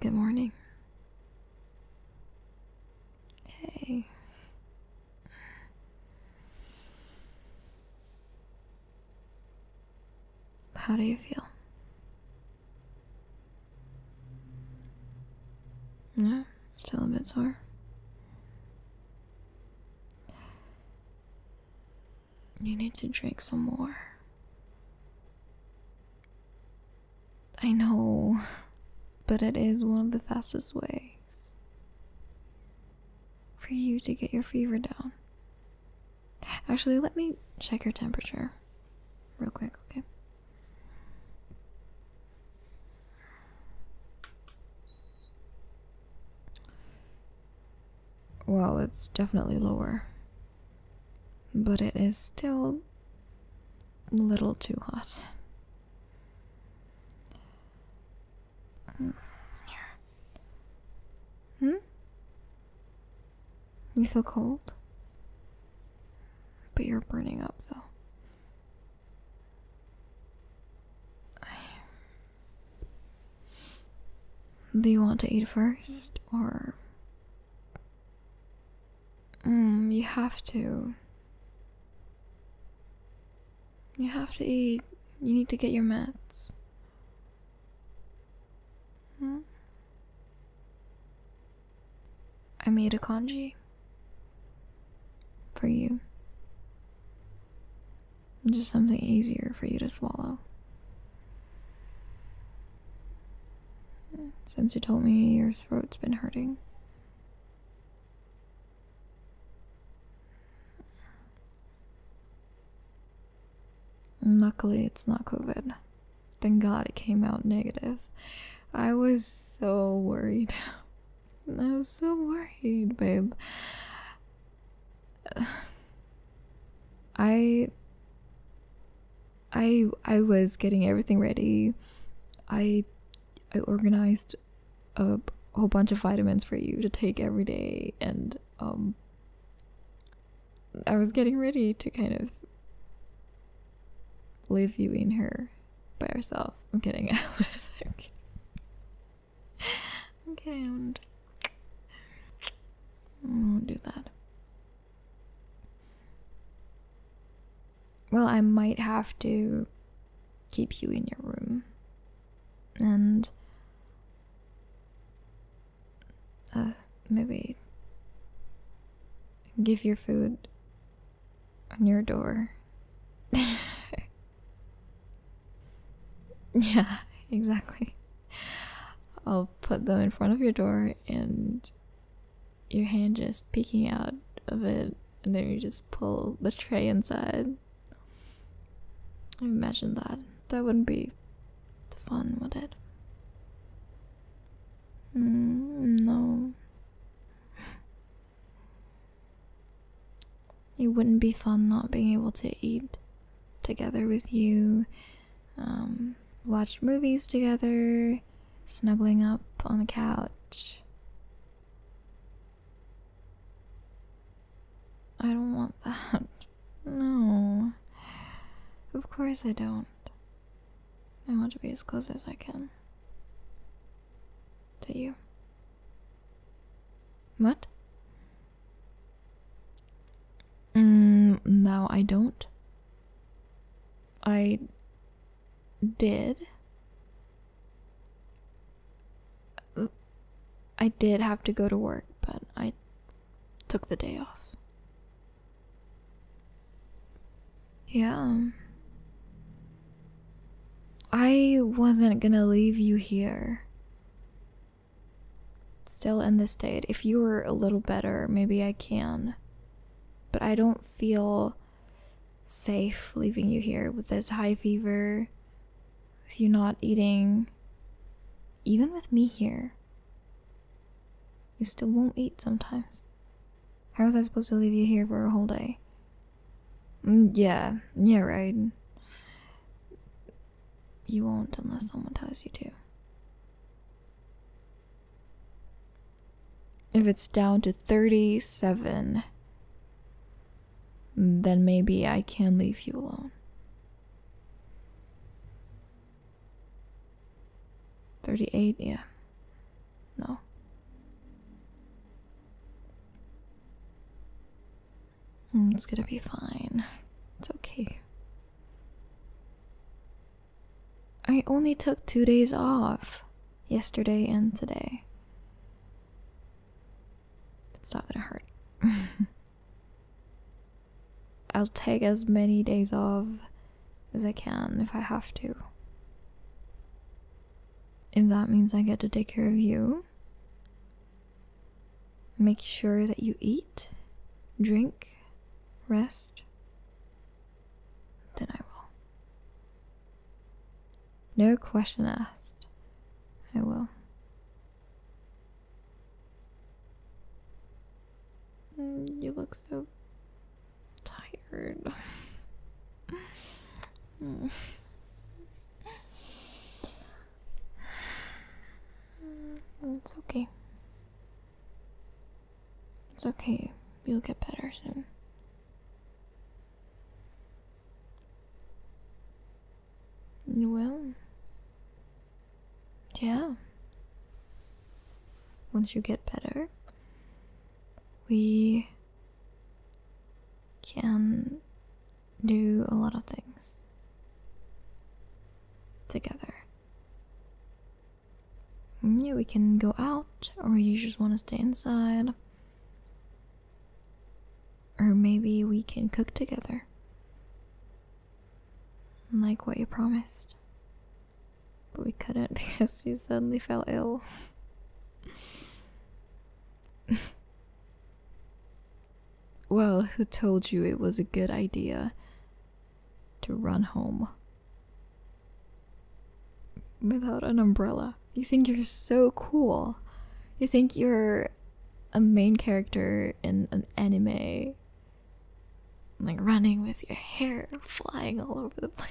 Good morning. Hey. How do you feel? Yeah, still a bit sore. You need to drink some more. I know, but it is one of the fastest ways for you to get your fever down. Actually, let me check your temperature real quick, okay? Well, it's definitely lower. But it is still a little too hot. Here. Hmm? You feel cold? But you're burning up though. Do you want to eat first, or? Mm, you have to. You have to eat. You need to get your meds. Hmm? I made a congee for you. Just something easier for you to swallow. Since you told me your throat's been hurting. Luckily, it's not COVID. Thank God it came out negative. I was so worried. I was so worried, babe. I I I was getting everything ready. I I organized a whole bunch of vitamins for you to take every day and um I was getting ready to kind of leave you in her by herself. I'm kidding. Okay, and will do that. Well, I might have to keep you in your room, and uh, maybe give your food on your door. Yeah, exactly. I'll put them in front of your door and your hand just peeking out of it, and then you just pull the tray inside. Imagine that. That wouldn't be fun, would it? Mm, no. it wouldn't be fun not being able to eat together with you, um, watch movies together, snuggling up on the couch. I don't want that. No. Of course I don't. I want to be as close as I can. To you. What? Mm, no, I don't. I did. I did have to go to work, but I took the day off. Yeah. I wasn't gonna leave you here still in this state. If you were a little better, maybe I can. But I don't feel safe leaving you here with this high fever, with you not eating, even with me here. You still won't eat sometimes. How was I supposed to leave you here for a whole day? Mm, yeah, yeah, right. You won't unless someone tells you to. If it's down to 37, then maybe I can leave you alone. 38, yeah. No. Mm, it's gonna be fine. It's okay. I only took two days off yesterday and today. It's not gonna hurt. I'll take as many days off as I can if I have to. If that means I get to take care of you, Make sure that you eat, drink, rest. Then I will. No question asked. I will. Mm, you look so tired. Mm. Mm, it's okay. It's okay. You'll get better soon. Well, yeah. Once you get better, we can do a lot of things together. Mm, yeah, we can go out, or you just want to stay inside. Or maybe we can cook together. Like what you promised. But we couldn't because you suddenly fell ill. Well, who told you it was a good idea to run home without an umbrella? You think you're so cool. You think you're a main character in an anime. Like running with your hair flying all over the place.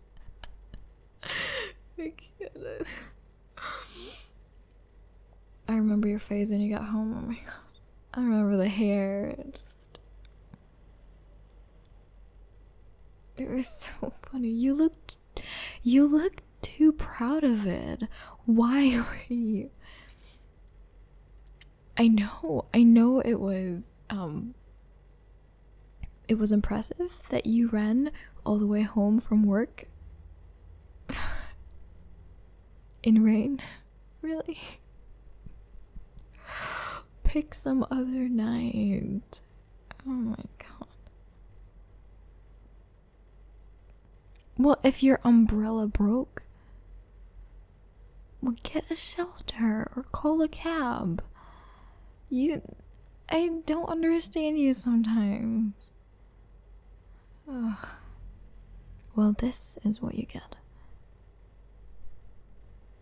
I can't. I remember your face when you got home. Oh my god. I remember the hair. It was so funny. You looked you looked too proud of it. Why were you I know. I know it was um it was impressive that you ran all the way home from work in rain really pick some other night oh my god well if your umbrella broke well get a shelter or call a cab you i don't understand you sometimes well, this is what you get.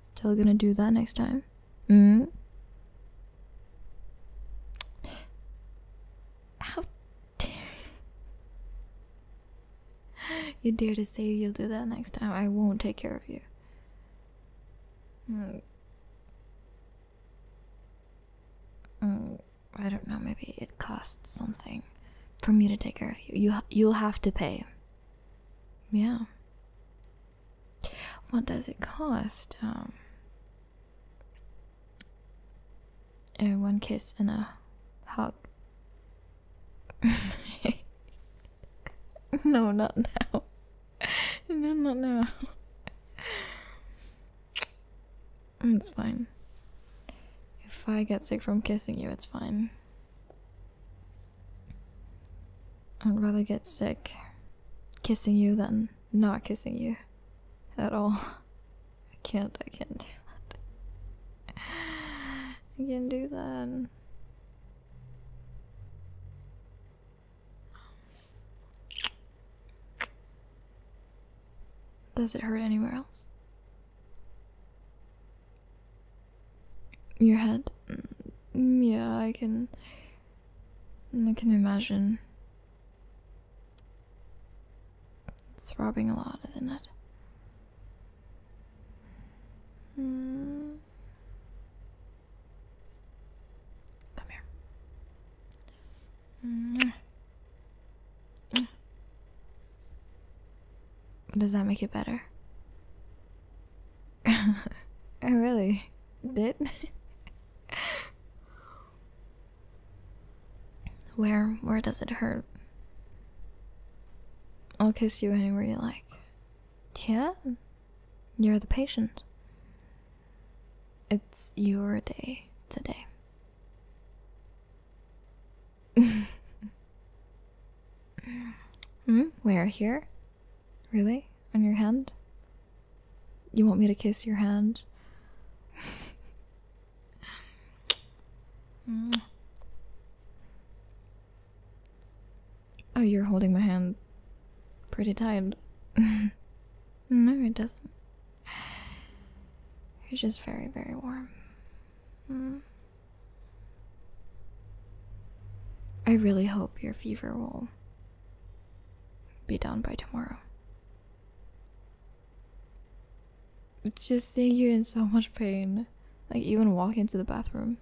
Still gonna do that next time? hmm? How dare you? dare to say you'll do that next time? I won't take care of you. Mm. Mm, I don't know. Maybe it costs something for me to take care of you. You you'll have to pay. Yeah. What does it cost? Um, uh, one kiss and a hug. no, not now. No, not now. Mm, it's fine. If I get sick from kissing you, it's fine. I'd rather get sick kissing you than not kissing you at all. I can't, I can't do that. I can't do that. Does it hurt anywhere else? Your head? Mm, yeah, I can. I can imagine. It's throbbing a lot, isn't it? Mm. Come here. Does that make it better? I oh, really did. where where does it hurt? I'll kiss you anywhere you like. Yeah? You're the patient. It's your day today. hmm? Where? Here? Really? On your hand? You want me to kiss your hand? oh, you're holding my hand pretty tight. No, it doesn't. It's just very, very warm. Mm. I really hope your fever will be down by tomorrow. It's just seeing you in so much pain, like even walking to the bathroom.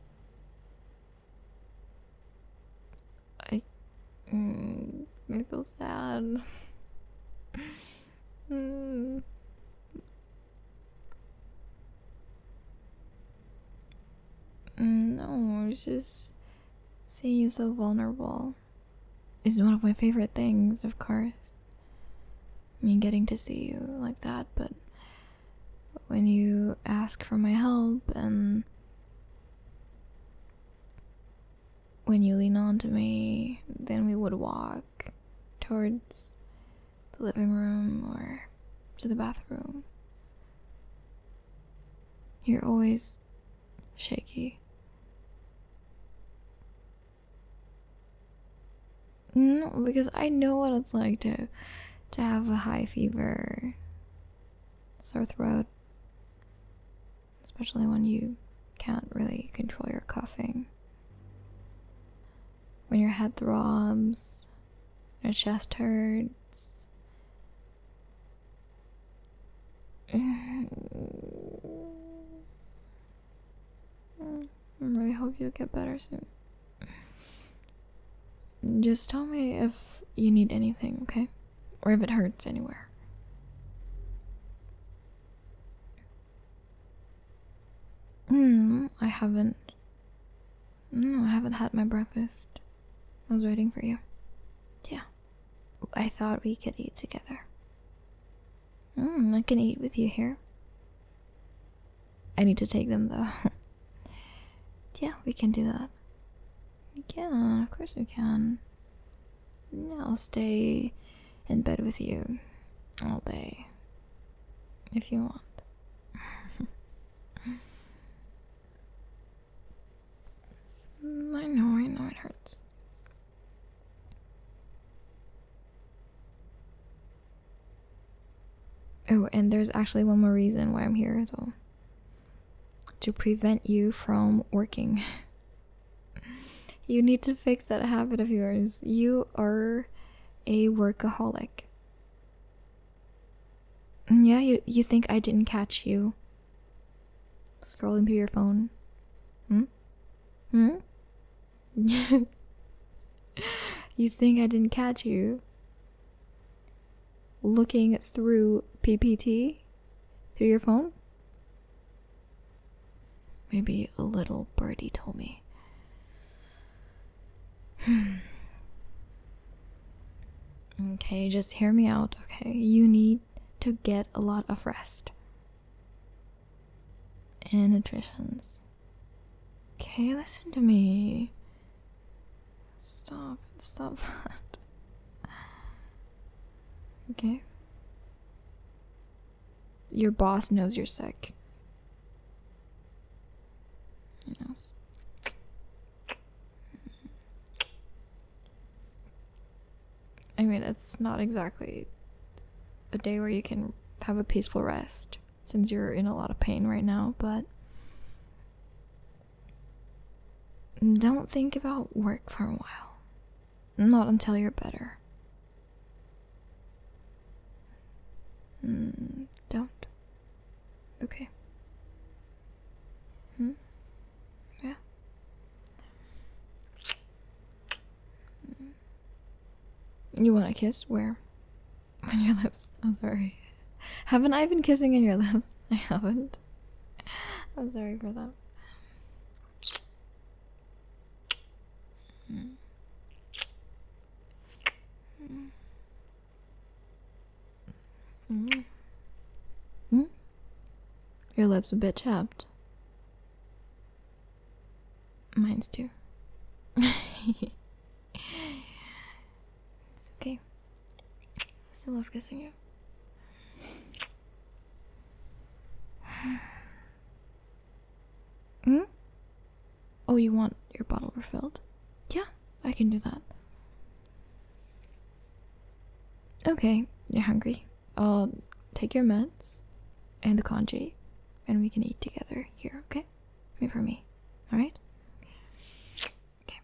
I, mm, I feel sad. Hmm. mm. No, it's just seeing you so vulnerable is one of my favorite things, of course. I mean, getting to see you like that, but when you ask for my help and when you lean onto me, then we would walk towards the living room or to the bathroom. You're always shaky. No, because I know what it's like to to have a high fever, sore throat, especially when you can't really control your coughing. When your head throbs, your chest hurts. I really hope you'll get better soon. Just tell me if you need anything, okay? or if it hurts anywhere. Hmm, I haven't. No, I haven't had my breakfast. I was waiting for you. Yeah. I thought we could eat together. Hmm, I can eat with you here. I need to take them though. yeah, we can do that. We can, of course we can. I'll stay in bed with you all day if you want. I know, I know it hurts. Oh, and there's actually one more reason why I'm here, though to prevent you from working. you need to fix that habit of yours. You are a workaholic. Mm, yeah, you, you think I didn't catch you scrolling through your phone? Hmm? Hmm? you think I didn't catch you? looking through PPT through your phone? Maybe a little birdie told me. okay, just hear me out, okay? You need to get a lot of rest and nutritions. Okay, listen to me. Stop, stop that. Okay. Your boss knows you're sick. He knows. I mean, it's not exactly a day where you can have a peaceful rest since you're in a lot of pain right now, but don't think about work for a while. Not until you're better. Mm, don't. Okay. Hmm? Yeah. Hmm. You want a kiss? Where? On your lips. I'm sorry. Haven't I been kissing in your lips? I haven't. I'm sorry for that. Mm. Mm. Mm. Mm? Your lips are a bit chapped. Mine's too. it's okay. I still love kissing you. Hmm? Oh, you want your bottle refilled? Yeah, I can do that. Okay, you're hungry. I'll take your meds and the congee, and we can eat together here, okay? Wait for me, alright? Okay.